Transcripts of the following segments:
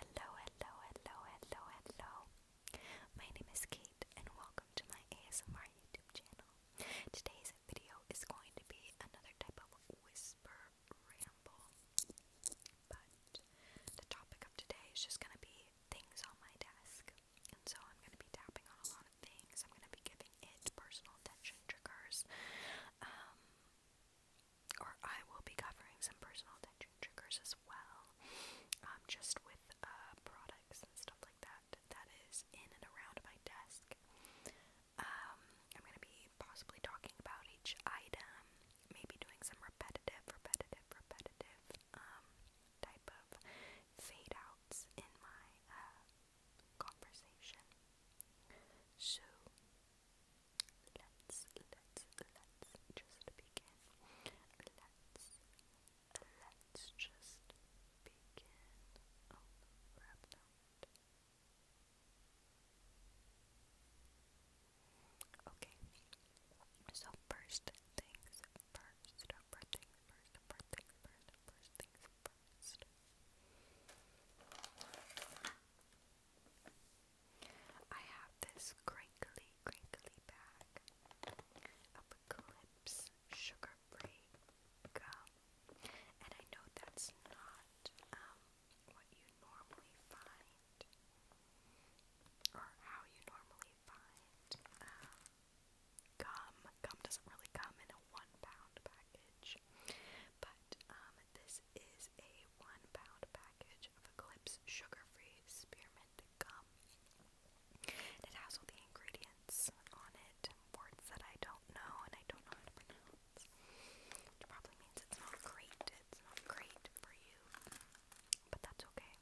Hello, hello, hello, hello, hello. My name is Kate and welcome to my ASMR YouTube channel. Today's video is going to be another type of whisper ramble. But the topic of today is just going to be things on my desk. And so I'm going to be tapping on a lot of things. I'm going to be giving it personal attention triggers. Um, or I will be covering some personal attention triggers as well, um, just with uh, products and stuff like that that is in and around my desk. Um, I'm gonna be possibly talking about each item, maybe doing some repetitive, repetitive, repetitive um, type of fade outs in my uh, conversation. So let's let's let's just begin. Let's let's just begin. Oh, okay. So first things first. First things first. First things first. First things first. I have this crinkly, crinkly bag of Eclipse sugar-free gum, and I know that's not um, what you normally find, or how you normally find um, gum. Gum doesn't really come in a one-pound package, but um, this is a one pound package of Eclipse sugar free spearmint gum. it has all the ingredients on it, words that I don't know and I don't know how to pronounce. Which probably means it's not great. It's not great for you. But that's okay.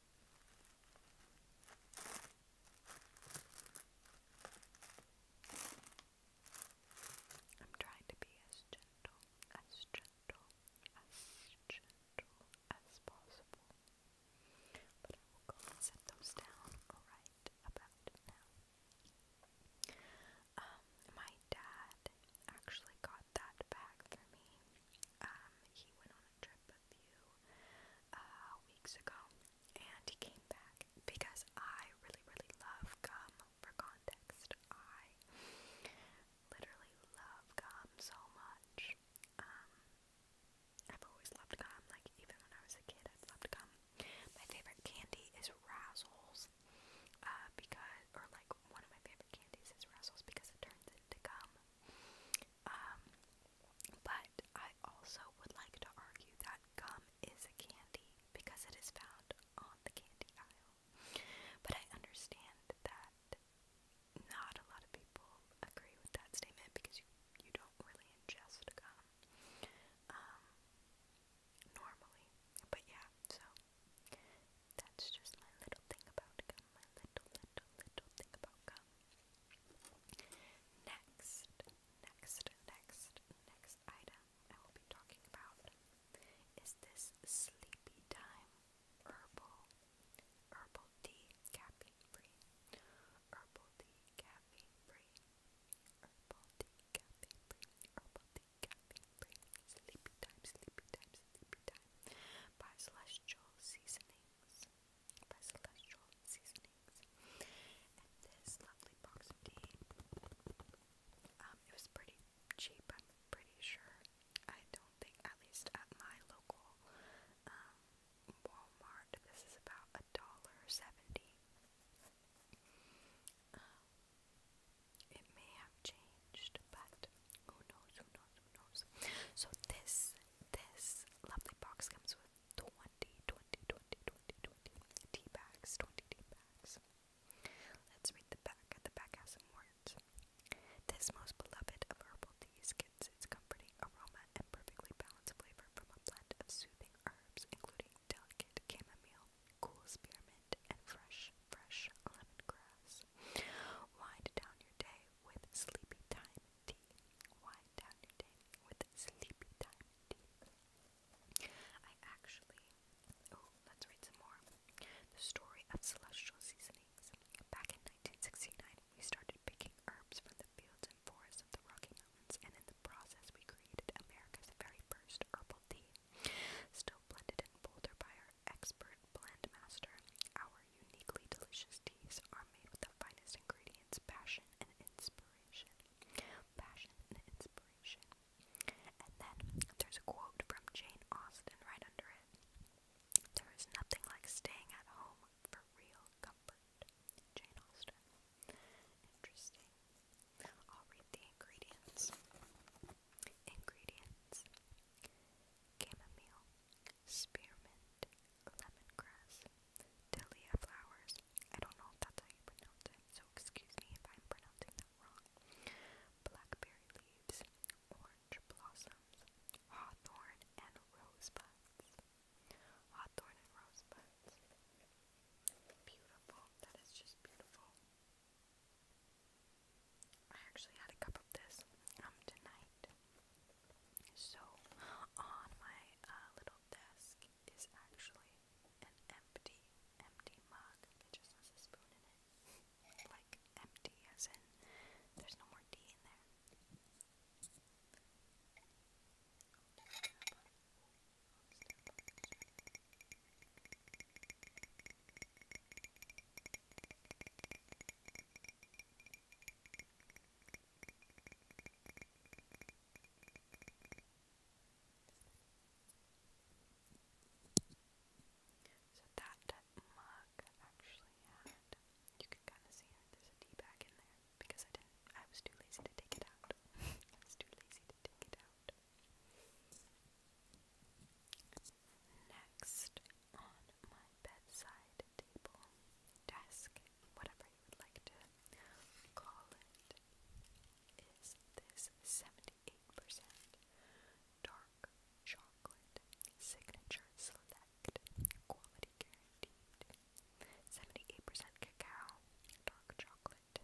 I'm trying to be as gentle, as gentle, as gentle as possible. But I will go and set those down right about now. Um, my dad actually got that back for me. Um, he went on on a trip a few uh, weeks ago, and he came back because I really, really love gum. For context, I literally love gum so much. Um, I've always loved gum. Like even when I was a kid, I've loved gum. My favorite candy is Razzles, uh, because or like one of my favorite candies is Razzles because it turns into gum. Um, but I also would like to argue that gum is a candy because it is found on the candy aisle. But I understand that not a lot of people agree with that statement because you, you don't really ingest gum um, normally. But yeah, so that's just my little thing about gum, my little, little, little thing about gum. Next, next, next, next item I will be talking about is this Sleepy Time Herbal Herbal Tea Caffeine Free. Herbal Tea Caffeine Free. Herbal Tea Caffeine Free. Herbal Tea Caffeine Free. Sleepy Time, Sleepy Time, Sleepy Time by Celestial Seasonings by Celestial Seasonings. And this lovely box of tea, um, it was pretty cheap, I'm pretty sure. I don't think, at least at my local um, Walmart, this is about a dollar seventy. Um, it may have changed, but who knows, who knows, who knows. So this this lovely box comes with 20, tea bags, 20 tea bags. Let's read the back. The back has some words. This most beloved of herbal teas gets its comforting aroma and perfectly balanced flavor from a blend of soothing herbs, including delicate chamomile, cool spearmint, and fresh, fresh grass. Wind down your day with sleepy time Wind down your day with sleepy time tea. I actually oh, let's read some more. The story of celestial seasonings. Back in 1969, we started picking herbs from the fields and forests of the Rocky Mountains, and in the process, we created America's very first herbal tea. Still blended in Boulder by expert blend master, our uniquely delicious teas are made with the finest ingredients, passion and inspiration. Passion and inspiration. And then there's a quote from Jane Austen right under it. There is nothing like staying at home for real comfort. Jane Austen. Interesting. I'll read the ingredients. Ingredients chamomile, spearmint, lemongrass, dahlia flowers. I don't know if that's how you pronounce it, so excuse me if I'm pronouncing that wrong. Blackberry leaves, orange blossoms, hawthorn, and rosebuds. Hawthorn and rosebuds. Beautiful. That is just beautiful. I actually had a cup of this um, tonight. So, on my uh, little desk is actually an empty, empty mug. It just has a spoon in it. like, empty as in there's no more tea in there. So that mug actually had, you can kind of see it, there's a tea bag in there because I didn't, I was too lazy to take it out. I was too lazy to take it out. Next on my bedside table, desk, whatever you would like to call it, is this 78% dark chocolate signature select quality guaranteed. 78% cacao, dark chocolate.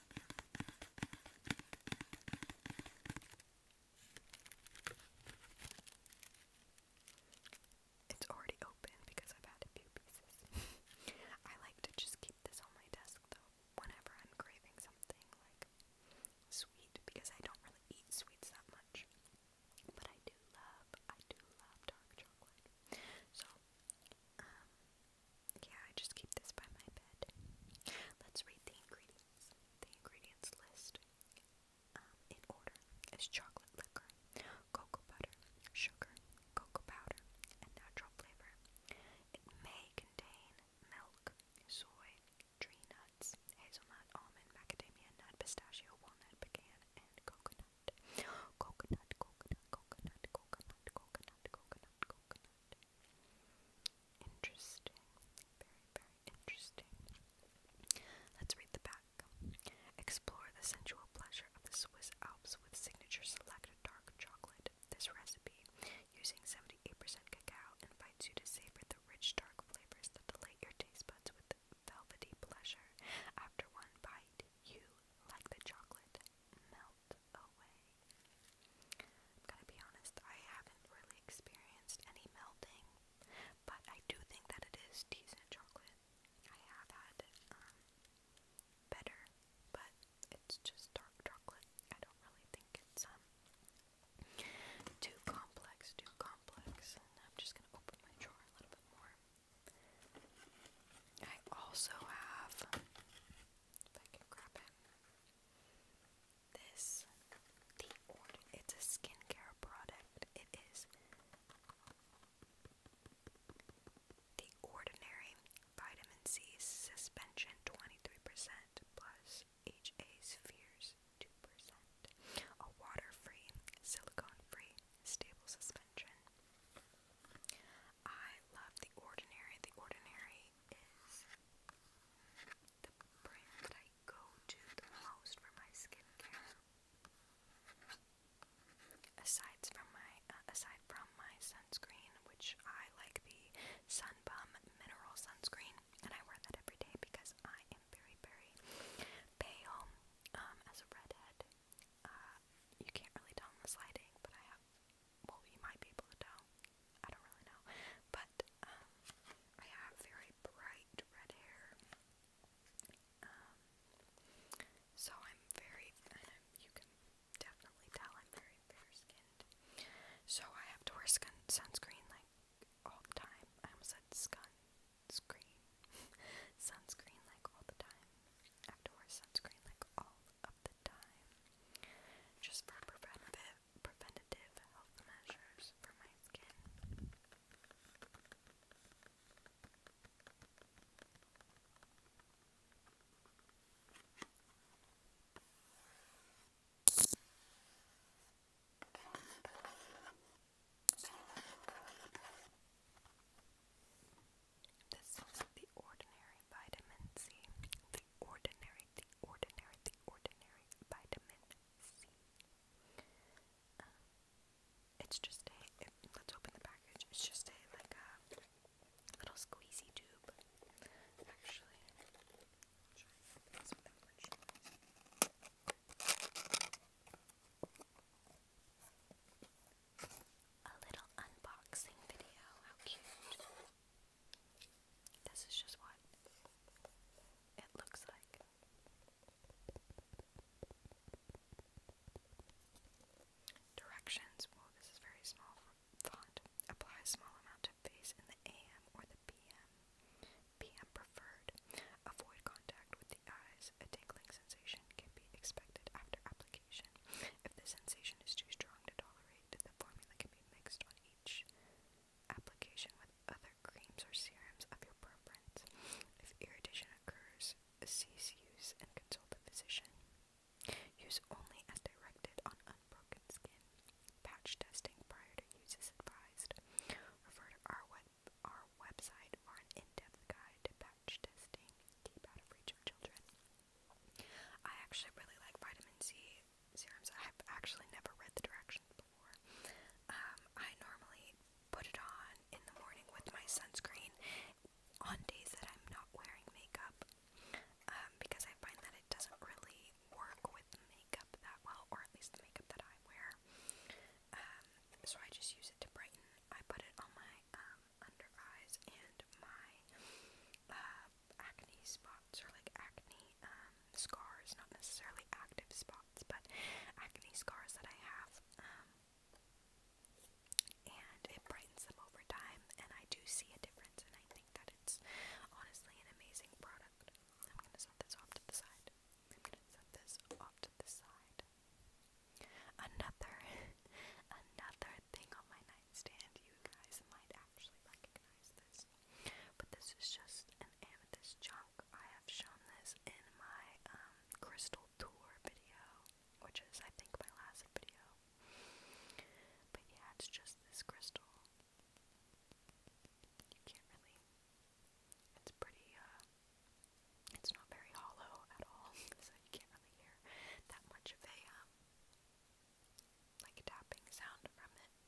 It's already open because I've had a few pieces. I like to just keep this on my desk though, whenever I'm craving something like sweet, because I don't really eat sweets that much. But I do love, I do love dark chocolate. So, um, yeah, I just keep this by my bed. Let's read the ingredients. The ingredients list um, in order is chocolate liquor, cocoa butter, sugar, cocoa powder, and natural flavor. It may contain milk, soy, tree nuts, hazelnut, almond, macadamia nut, pistachio, walnut, pecan, and coconut. Coconut, coconut, coconut, coconut, coconut, coconut, coconut. Interesting. Very, very interesting. Let's read the back. Explore the sensual pleasure of the Swiss Alps with signature selected dark chocolate. This recipe, using 78% cacao, invites you to savor the rich dark flavors that delight your taste buds with velvety pleasure. After one bite, you, like the chocolate, melt. I'm gonna be honest, I haven't really experienced any melting, but I do think that it is decent chocolate. I have had um, better, but it's just dark chocolate. I don't really think it's um too complex, too complex. I'm just gonna open my drawer a little bit more. I also have if I can grab it. This the it's a skincare product. It is the ordinary vitamin C suspension 23% plus HA spheres 2%. A water-free, silicone-free, stable suspension. I love the ordinary. The ordinary is the brand that I go to the most for my skincare. Aside from my uh, aside from my sunscreen, which I like the Sun mineral sunscreen, and I wear that every day because I am very very pale um, as a redhead. Uh, you can't really tell in this but I have well, you might be able to tell. I don't really know. But um, I have very bright red hair. Um, so I'm very, you can definitely tell I'm very fair skinned. So I have to wear skin, sunscreen like all the time. I almost said scun, screen. sunscreen like all the time. I wear sunscreen like all up the time just for preventative, preventative health measures for my skin. This is the ordinary vitamin C. The ordinary, the ordinary, the ordinary vitamin C. Um, it's just a, let's open the package. It's just a, like a little squeezy tube. Actually, a little unboxing video. How cute. This is just what it looks like. Directions. this is very small font. Apply small amount of base in the AM or the PM. PM preferred. Avoid contact with the eyes. A tingling sensation can be expected after application. If the sensation is too strong to tolerate, the formula can be mixed on each application with other creams or serums of your preference. If irritation occurs, cease use and consult a physician. Use only as directed on unbroken skin. Patch testing prior to use is advised. Refer to our, web, our website for an in-depth guide to testing, deep out of reach of children. I actually really like vitamin C serums. I've actually never read the directions before. Um, I normally put it on in the morning with my sunscreen on days that I'm not wearing makeup um, because I find that it doesn't really work with makeup that well, or at least the makeup that I wear. Um, so I just use it to brighten. I put it on my under eyes and my uh, acne spots or like acne um, scars, not necessarily active spots, but acne scars that I have. Um, and it brightens them over time, and I do see a difference, and I think that it's honestly an amazing product. I'm gonna set this off to the side. I'm gonna set this off to the side. Another, another thing on my nightstand. You guys might actually recognize this, but this is just an amethyst chunk. I have shown this in my um, crystal tour video, which is I think my last video. But yeah, it's just this crystal. You can't really. It's pretty. Uh, it's not very hollow at all, so you can't really hear that much of a um, like tapping sound from it.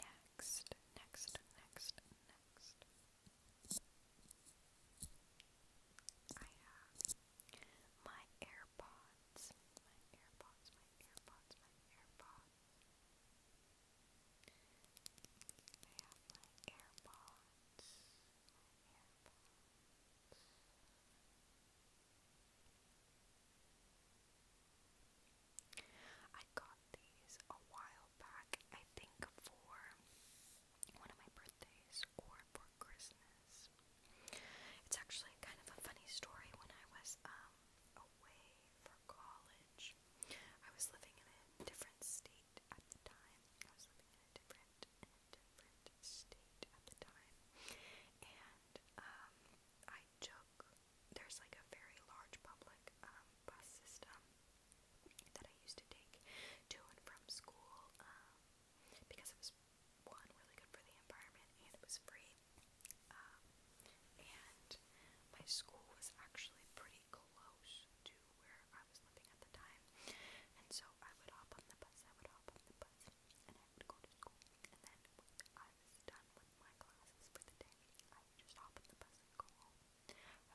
Next, next, next, next. I have my AirPods. My AirPods, my AirPods, my AirPods. I have my AirPods. I got these a while back, I think for one of my birthdays or for Christmas. It's actually kind of a funny story. When I was um, away for college, I was living in a different state state at the time. I was living in a different in a different state at the time. And um I took there's like a very large public um, bus system that I used to take to and from school, um, because it was one really good for the environment and it was free. Um, and my school was actually pretty close to where I was living at the time. And so I would hop on the bus, I would hop on the bus, and I would go to school. And then when I was done with my classes for the day, I would just hop on the bus and go home.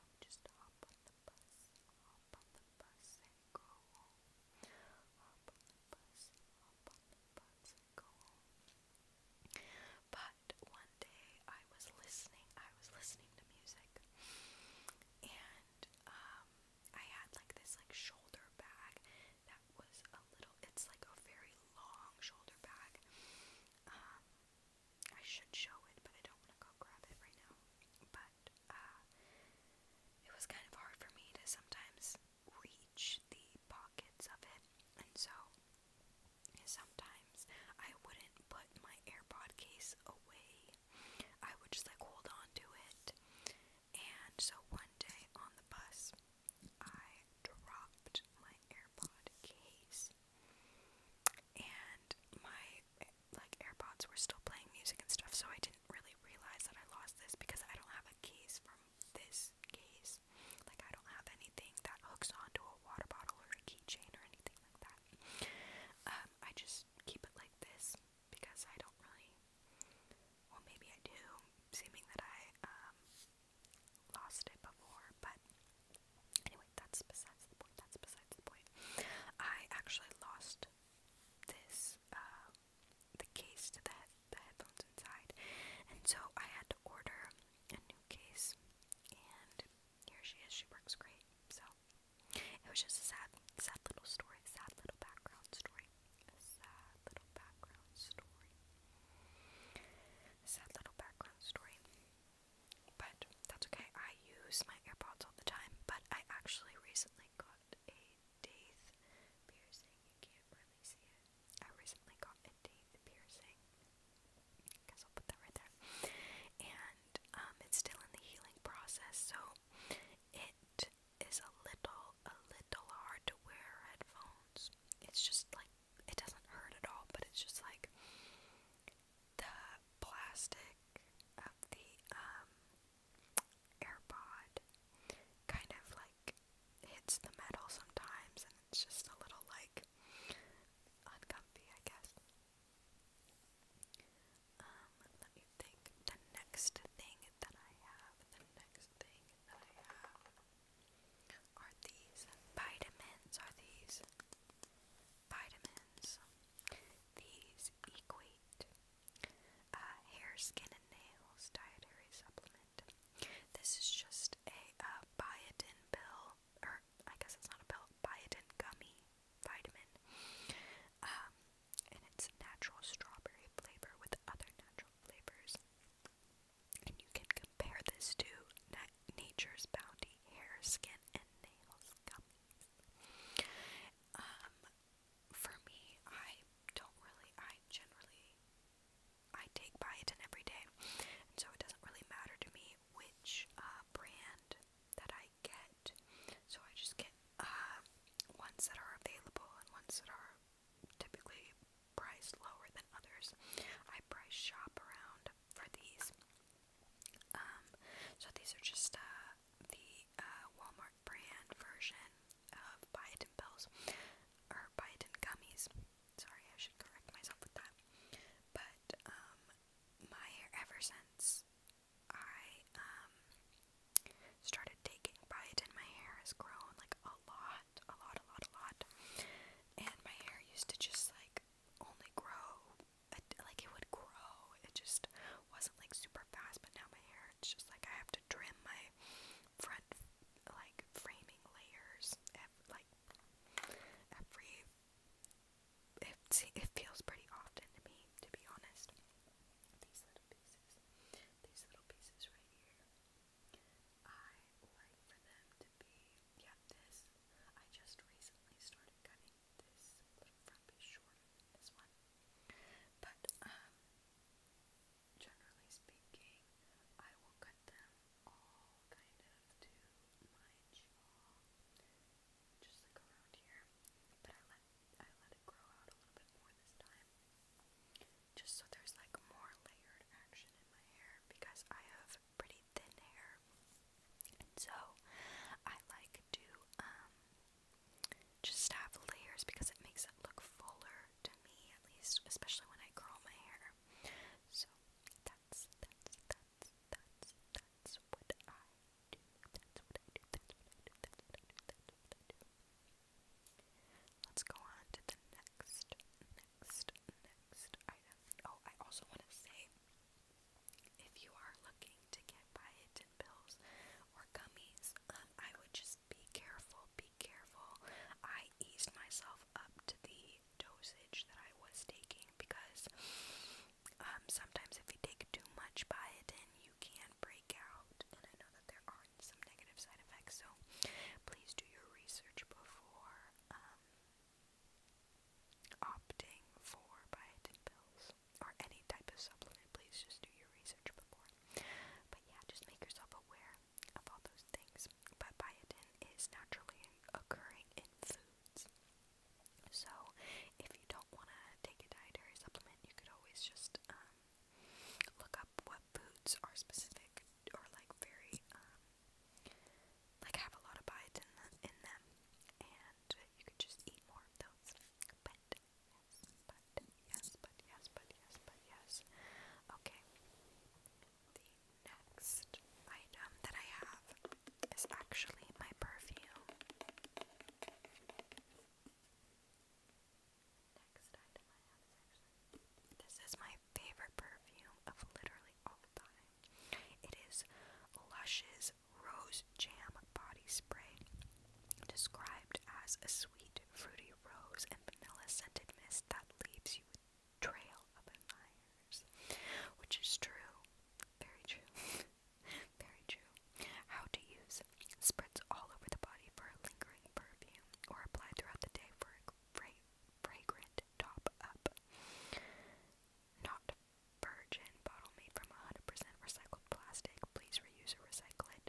I would just hop on the bus, hop on the bus and go home. Hop on the bus, hop on the bus and go home. But one I was listening, I was listening to music, and um, I had like this like shoulder bag that was a little, it's like a very long shoulder bag. Um, I should show it, but I don't want to go grab it right now. But uh, it was kind of hard for me to sometimes reach the pockets of it, and so sometimes. I wouldn't put my AirPod case away. I would just like hold on to it. And so one day on the bus, I dropped my AirPod case. And my like AirPods were still playing music and stuff, so I didn't really realize that I lost this because I don't have a case from this case. Like I don't have anything that hooks onto a water bottle or a keychain or anything like that that. Um, I just keep it like this because I don't really. Well, maybe I do, seeming that I um, lost it before, but anyway, that's besides the point. That's besides the point. I actually lost this, uh, the case to the, he the headphones inside, and so I had to order a new case, and here she is. She works great, so it was just a sad, sad little story, sad little background story, sad little background story, sad little background story. But that's okay. I use my AirPods all the time. But I actually recently got a teeth piercing. You can't really see it. I recently got a teeth piercing. Guess I'll put that right there. And um, it's still in the healing process, so it is a little, a little hard to wear headphones. It's just like it doesn't hurt at all, but it's just like the plastic of the um, AirPod kind of like hits the metal sometimes, and it's just a little like uncomfy, I guess. Um, let me think. The next thing that I have, the next thing that I have are these vitamins. Are these vitamins? These equate hair, skin, and nails dietary supplement. This is just a biotin pill I guess it's not a pill, biotin gummy vitamin. Um, and it's natural strawberry flavor with other natural flavors. And you can compare this to Nature's Bounty hair, skin, and nails gummies. Um, for me, I don't really, I generally, I take biotin every day, and so it doesn't really matter to me which uh, brand that I get. So I just get uh, ones that are available and ones that are typically priced lower than others. I price shop around for these. Um, so these are just uh, the uh, Walmart brand version of biotin pills or biotin gummies. Sorry, I should correct myself with that. But um, my hair ever since I um, started taking biotin. My hair has grown like a lot, a lot, a lot, a lot. And my hair used to just like only grow, like it would grow. It just wasn't like super fast. But now my hair, it's just like I have to trim my front like framing layers, every, like every it, it feels pretty often to me, to be honest. These little pieces, these little pieces right here, I like for them to be, yeah, this. I just recently started cutting this little front piece shorter this one. But, um, generally speaking, I will cut them all kind of to my just like around here. But I let I let it grow out a little bit more this time, just so there's like more layered action in my hair because I have pretty thin hair, so I like to um just have layers because it makes it look fuller to me at least, especially when I curl my hair. So that's that's that's I Let's go on to the next, next, next item. Oh, I also want to say, if you are looking to get biotin pills or gummies, um, I would just be careful, be careful. I eased myself up to the dosage that I was taking because um, sometimes if you take too much biotin, you can break out. And I know that there are some negative side effects, so please do your research before um, opting for biotin pills or any type of supplement. Please just do your research before. But yeah, just make yourself aware of all those things. But biotin is naturally occurring in food supplements. So, if you don't want to take a dietary supplement, you could always just um, look up what foods are specific or like very, um, like have a lot of bites in, the, in them, and you could just eat more of those. But yes, but yes, but yes, but yes, but yes. Okay. The next item that I have is actually my perfume. Next item I have is actually this is my favorite perfume of literally all time. It is Lush's Rose Jam Body Spray, described as a sweet, fruity rose and vanilla scented mist that leaves you with trail of admirers. Which is true. Very true. Very true. How to use spritz all over the body for a lingering perfume or apply throughout the day for a fra fragrant top up. Not virgin bottle made from 100% recycled plastic. Please reuse or recycle it.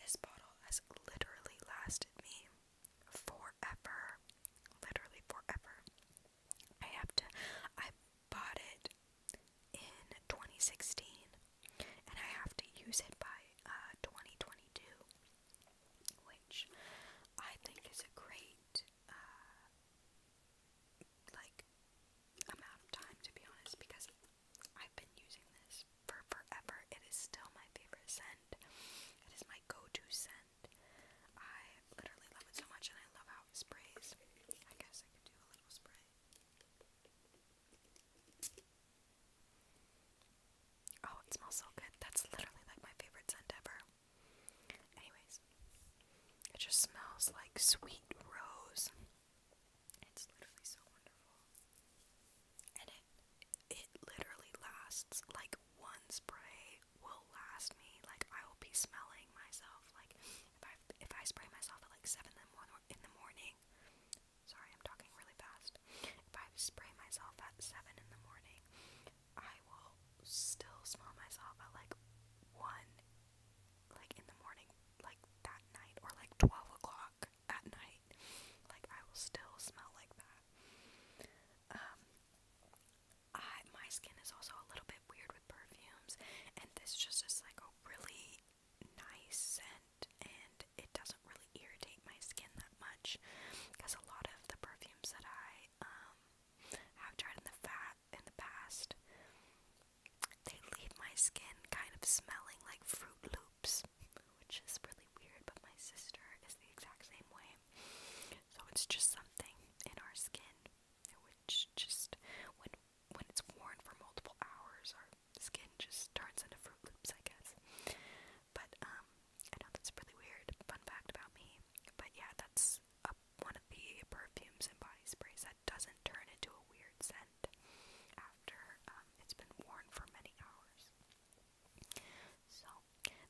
This bottle has literally lasted me forever. Literally forever. I have to. I bought it in 2016 and I have to use it by uh, 2022, which I think is a great. Uh, like amount of time to be honest because I've been using this for forever. It is still my favorite scent. It is my go-to scent. I literally love it so much and I love how it sprays. I guess I could do a little spray. Oh, it smells so good. That's literally like my favorite scent ever. Anyways, it just smells like sweet rose. It's literally so wonderful. And it it literally lasts like one spray will last me. Like I will be smelling myself. Like if I if I spray myself at like seven in the morning. Sorry, I'm talking really fast. If I spray myself at seven in the morning, I will still smell myself at like one like in the morning, like that night, or like 12 o'clock at night. Like, I will still smell like that. Um, I, my skin is also a little bit weird with perfumes, and this just is like a really nice scent, and it doesn't really irritate my skin that much because a lot of the perfumes that I um, have tried in the past in the past. They leave my skin kind of smelling like Fruit Loops, which is really weird, but my sister is the exact same way. So it's just something in our skin, which just, when, when it's worn for multiple hours, our skin just turns into Fruit Loops, I guess. But, um, I know that's really weird, fun fact about me, but yeah, that's a, one of the perfumes and body sprays that that doesn't turn into a weird scent after um, it's been worn for many hours. So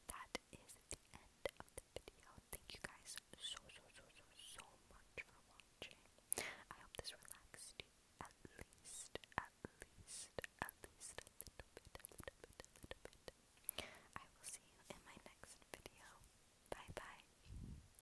that is the end of the video. Thank you guys so so so so so much for watching. I hope this relaxed you at least, at least, at least a little bit, a little bit, a little bit. I will see you in my next video. Bye bye.